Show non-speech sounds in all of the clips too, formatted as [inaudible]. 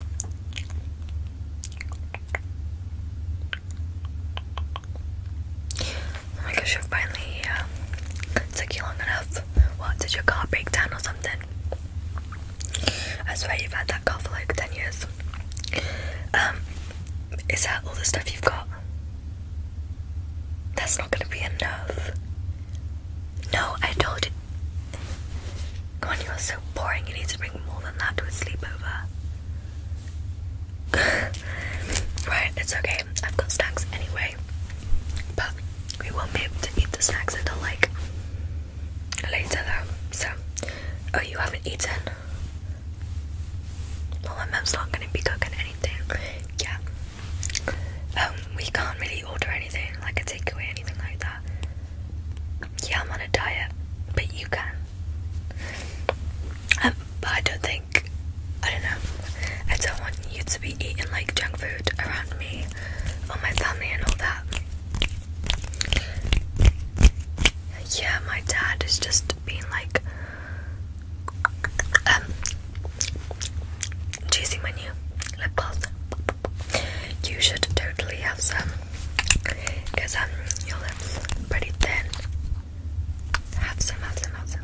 Oh my gosh, you finally um, took you long enough. What, did your car break down or something? I swear you've had that car for like 10 years. Um, is that all the stuff you've got? That's not gonna be enough. No, I told you come on, you are so boring. You need to bring more than that to a sleepover. [laughs] right, it's okay. I've got snacks anyway. But we won't be able to eat the snacks until like later though. So, oh, you haven't eaten? Well, my mum's not gonna be cooking anything. Yeah. Um, we can't really order anything, like a takeaway, anything like that yeah, I'm on a diet, but you can. Um, but I don't think, I don't know, I don't want you to be eating like junk food around me or my family and all that. Yeah, my dad is just being like, um, choosing my new lip gloss. You should totally have some, because um, your lips pretty thin. Have some, have some, have some.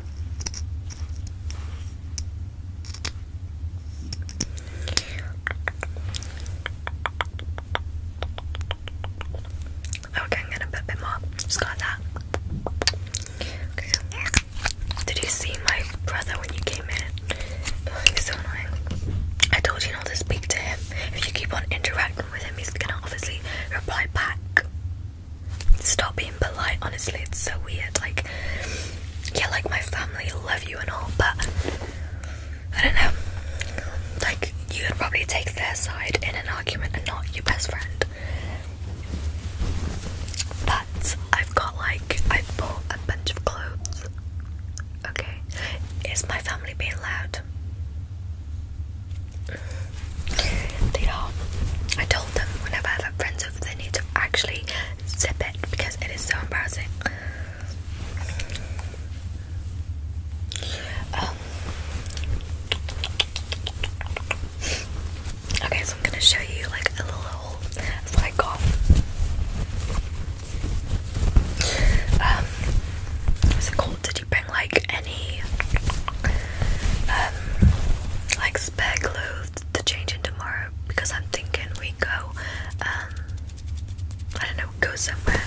Okay, I'm gonna put a bit more. Just got that. Did you see my brother when you came in? Oh, so annoying. I told you not to speak to him. If you keep on interacting with him, he's gonna obviously reply back. Stop being polite, honestly, it's so weird. Like, yeah, like my family love you and all, but I don't know. Like, you would probably take their side in an argument and not your best friend. But I've got like, I've bought a bunch of clothes Okay. Is my family being loud? They are. I told them whenever I have friends over, they need to actually zip it because it is so embarrassing. Um, okay, so I'm gonna show you like a little haul of um, it called? Did you bring like any um, like spare clothes to change in tomorrow? Because I'm thinking we go um, I don't know, go somewhere.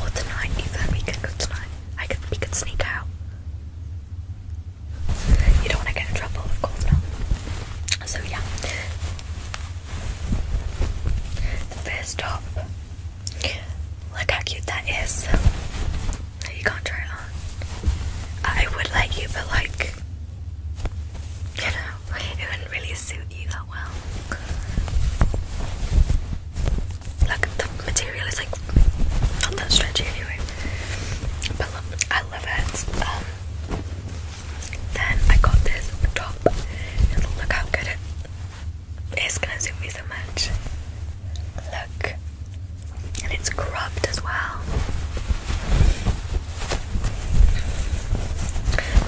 Or tonight even we can go tonight. I could we could sneak out. You don't want to get in trouble, of course not. So yeah, the first top. Look how cute that is. You can't try it on. I would like you, but like, you know, it wouldn't really suit you that well. Like the material is like not that stretchy anyway. But I love it. Um, then I got this top, look how good it is. Gonna suit me so much. Look, and it's cropped as well.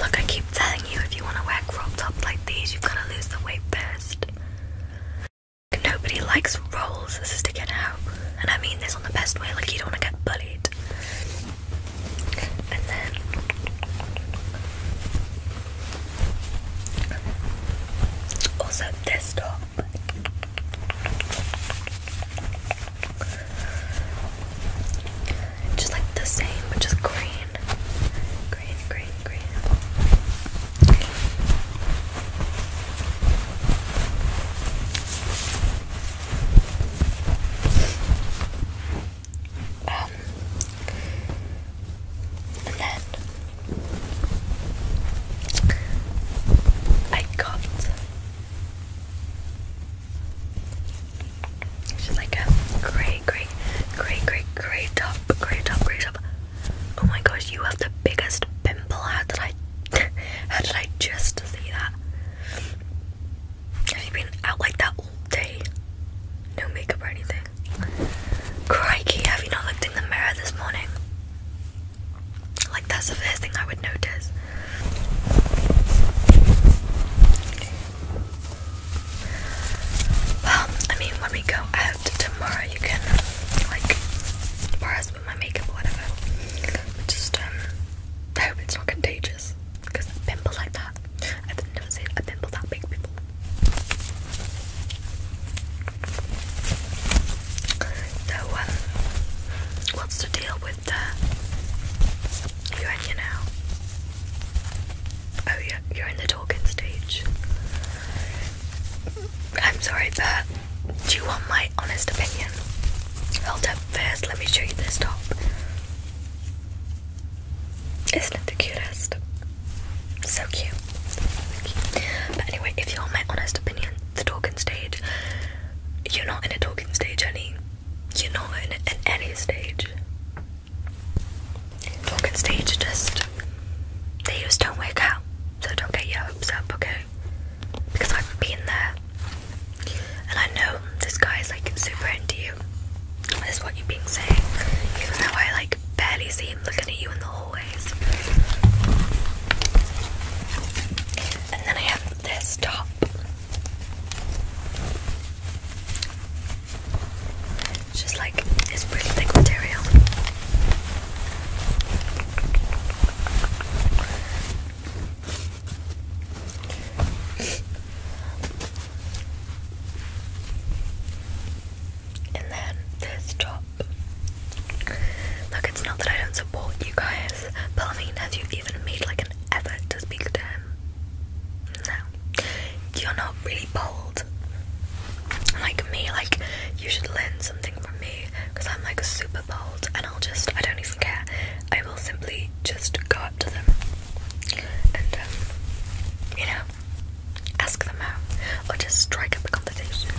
Look, I keep telling you, if you want to wear crop tops like these, you've got to lose the weight first. Nobody likes rolls sticking out, and I mean this on the best way. Like you don't want to get bullied. And then also this top. Just like the same, but just green. Green, green, green. Um, and then I got just like a grey, grey, grey, grey, grey top, grey top, grey top. Oh my gosh, you have the biggest pimple. How did I, [laughs] how did I just see that? Have you been out like that all day? No makeup or anything? Crikey, have you not looked in the mirror this morning? Like, that's the first thing I would notice. Well, I mean, when we go out tomorrow, you can, like, my makeup or whatever. just um, I hope it's not contagious because a pimple like that, I've never seen a pimple that big before. So um, what's the deal with the urania now? Oh yeah, you're in the talking stage. I'm sorry, but do you want my honest opinion? Hold up first, let me show you this top. Isn't it the cutest? So cute. But anyway, if you want my honest opinion, the talking stage, you're not in a talking stage, honey. You're not in, any stage. Talking stage just, they just don't work out. So don't get your hopes up, okay? because I've been there and I know this guy is like super into you. That's what you've been saying, even though I like barely see him looking at you in the hallways. And then I have this top. It's just like this really thick material. And then this top. Look, it's not that I don't support you guys, but I mean, have you even made like an effort to speak to him? No. You're not really bold. Like me, like, you should learn something from me because I'm like super bold and I'll just, I don't even care. I will simply just go up to them and, um, you know, ask them out or just strike up a conversation.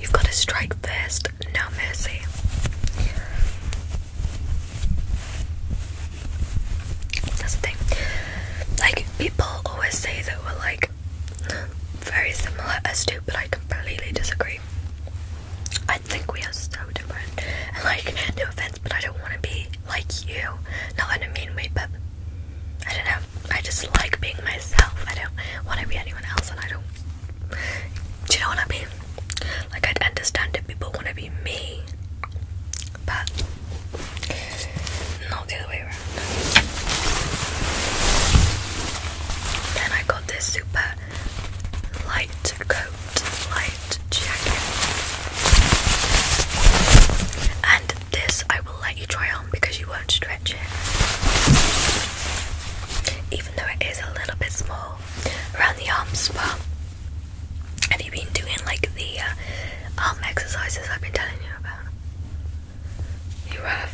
You've got to strike first, no mercy. That's the thing. Like, people always say that we're like like very similar as to, but I completely disagree. I think we are so different, and like, no offense, but I don't want to be like you. Not in a mean way, but I don't know. I just like being myself. I don't want to be anyone else, and I don't. Do you know what I mean? Like, I'd understand if people want to be me, but not the other way around. Then I got this super light coat, light jacket. And this I will let you try on because you won't stretch it. Even though it is a little bit small around the arms, but have you been doing like the uh, arm exercises I've been telling you about? You have.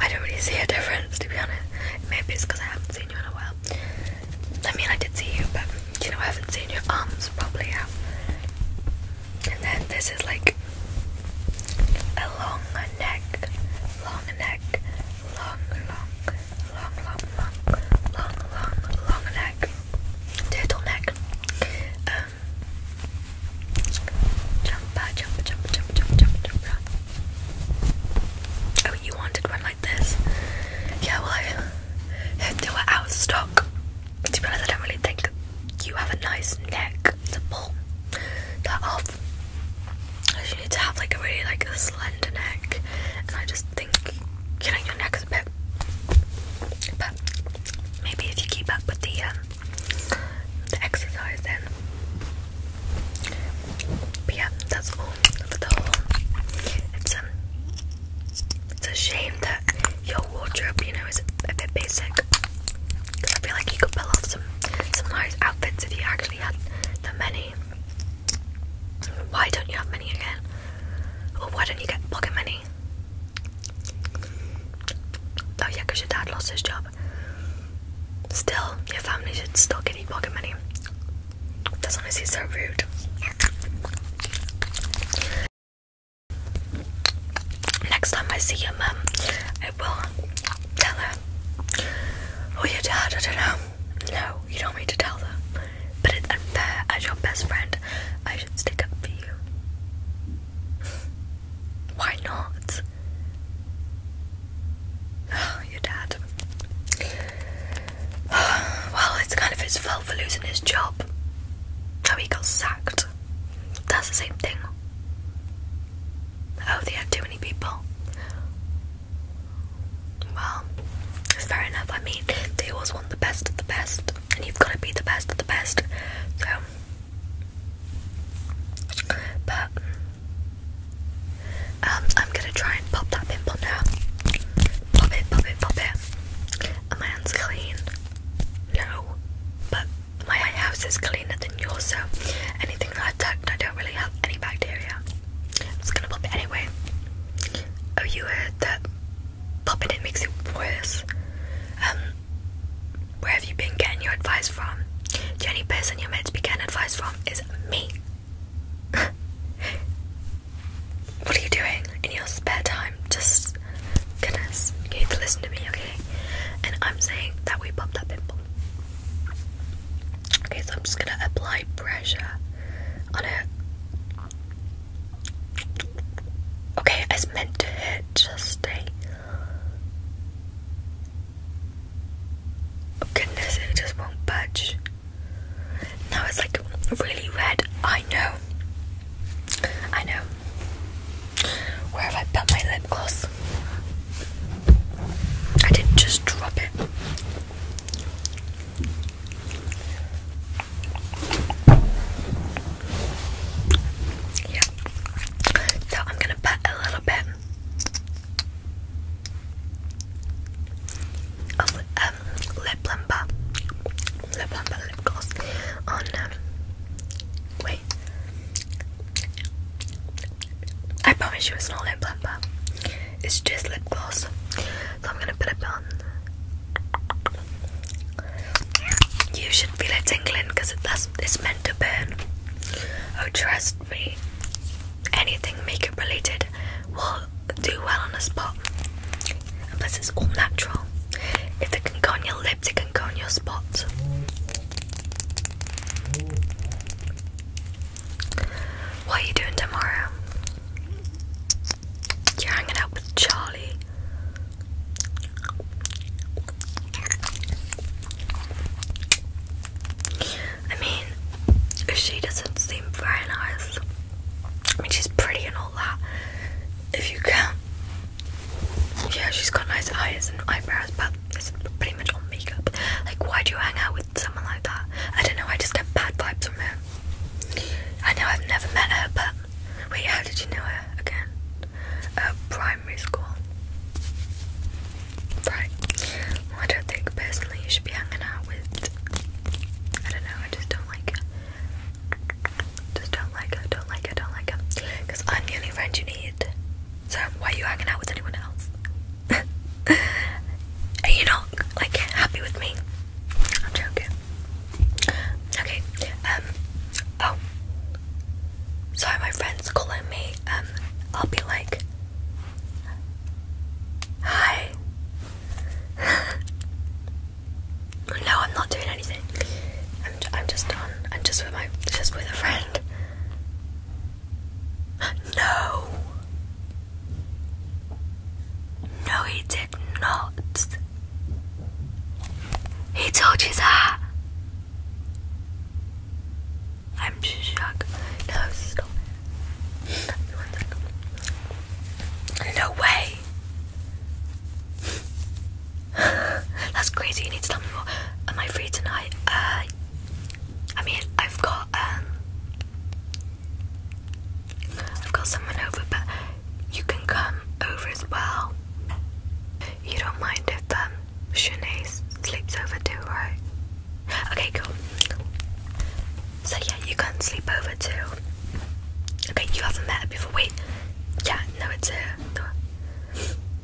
I don't really see a difference, to be honest. Maybe it's because I haven't seen you in a while. I mean, I did see you, but you know, I haven't seen your arms probably. out. And then this is like a long neck, long neck, long, long, long, long, long, long, long, long neck, turtle neck. Um, Jump, jump, jump, jump, jump, jump, jump. Oh, you wanted one like this? Yeah, well, they were out of stock. To be honest, I don't really think you have a nice neck to pull that off. You need to have like a really like a slender neck, and I just think you your neck a bit. But maybe if you keep up with the um, the exercise then. But yeah, that's all for the whole. It's um, it's a shame that your wardrobe, you know, is a bit basic. Because I feel like you could pull off some some nice outfits if you actually had that many. Why don't you have many again? Or why don't you get pocket money? Oh yeah, because your dad lost his job. Still, your family should still get you pocket money. That's why he's so rude. Next time I see your mum, I will tell her. Oh yeah, dad, I don't know. No, you don't need to tell them. But As your best friend, I should stick up for you. Why not? Oh, your dad. [sighs] well, it's kind of his fault for losing his job. How he got sacked. That's the same thing. Oh, they had too many people. Well, fair enough. I mean, they always want the best of the best, and you've got to be the best of the best. So, but um, I'm gonna try and pop that pimple now. Pop it, pop it, pop it. Are my hands clean? No, but my house is cleaner than yours, so anything that I've tucked, I don't really have any bacteria. I'm just gonna pop it anyway. Oh, you heard that popping it makes it worse. Um, where have you been getting your advice from? The only person you're meant to be getting advice from is me. [laughs] what are you doing in your spare time? Just goodness, you need to listen to me, okay? And I'm saying that we popped that pimple. Okay, so I'm just gonna apply pressure on it. Okay, it's meant to hit. Just stay Oh, goodness, it just won't budge. Now it's like really red. I know. I know. Where have I put my lip gloss? I did just drop it. Yeah. So I'm going to put a little bit of um, lip plumper, lip plumper lip gloss on. Um, wait, I promise you it's not lip balm. It's just lip gloss. So I'm going to put it on. You should feel it tingling because that's it's meant to burn. Oh, trust me. Anything makeup related will do well on the spot. And plus, it's all natural. If it can go on your lips, it can go on your spots. What are you doing tomorrow? You're hanging out with Charlie. I mean, she doesn't seem very nice. I mean, she's pretty and all that. If you can, yeah, she's got nice eyes and eyebrows, but it's pretty much all makeup. Like, why do you hang out with someone like that? I don't know. I just get bad vibes from her. I know I've never met her, but wait, how did you know her again? uh, primary school. Right. I don't think personally you should be hanging out with. I don't know. I just don't like her. Just don't like her. Don't like her. Don't like her. Because I'm the only friend you need. So why are you hanging out with anyone else? [laughs] are you not like happy with me? I'm joking. Okay, um, oh. Sorry, my friend's calling me. Um, I'll be like, hi. [laughs] no, I'm not doing anything. I'm, I'm just on. I'm just with my, just with a friend. [gasps] No. No, he did not. He told you that. I'm shocked. No, stop way. [laughs] That's crazy. You need to tell me more. Am I free tonight? Uh, I mean, I've got um, I've got someone over, but you can come over as well. You don't mind if um, Shanae sleeps over too, right? Okay, cool. So yeah, you can sleep over too. Okay, you haven't met her before. Wait, yeah, no, it's her. The,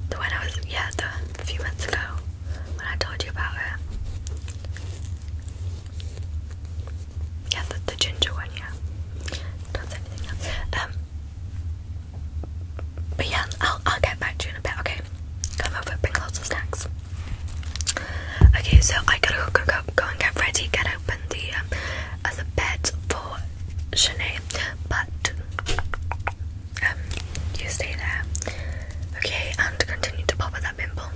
the one I was, yeah, the few months ago when I told you about her. Yeah, the, the ginger one, yeah. Don't say anything else. Um, but yeah, I'll I'll get back to you in a bit, okay? Come over, bring lots of snacks. Okay, so I gotta go go, go and get ready, get open the um, other bed for Shanae, but um, you stay there, okay? And continue to pop at that pimple.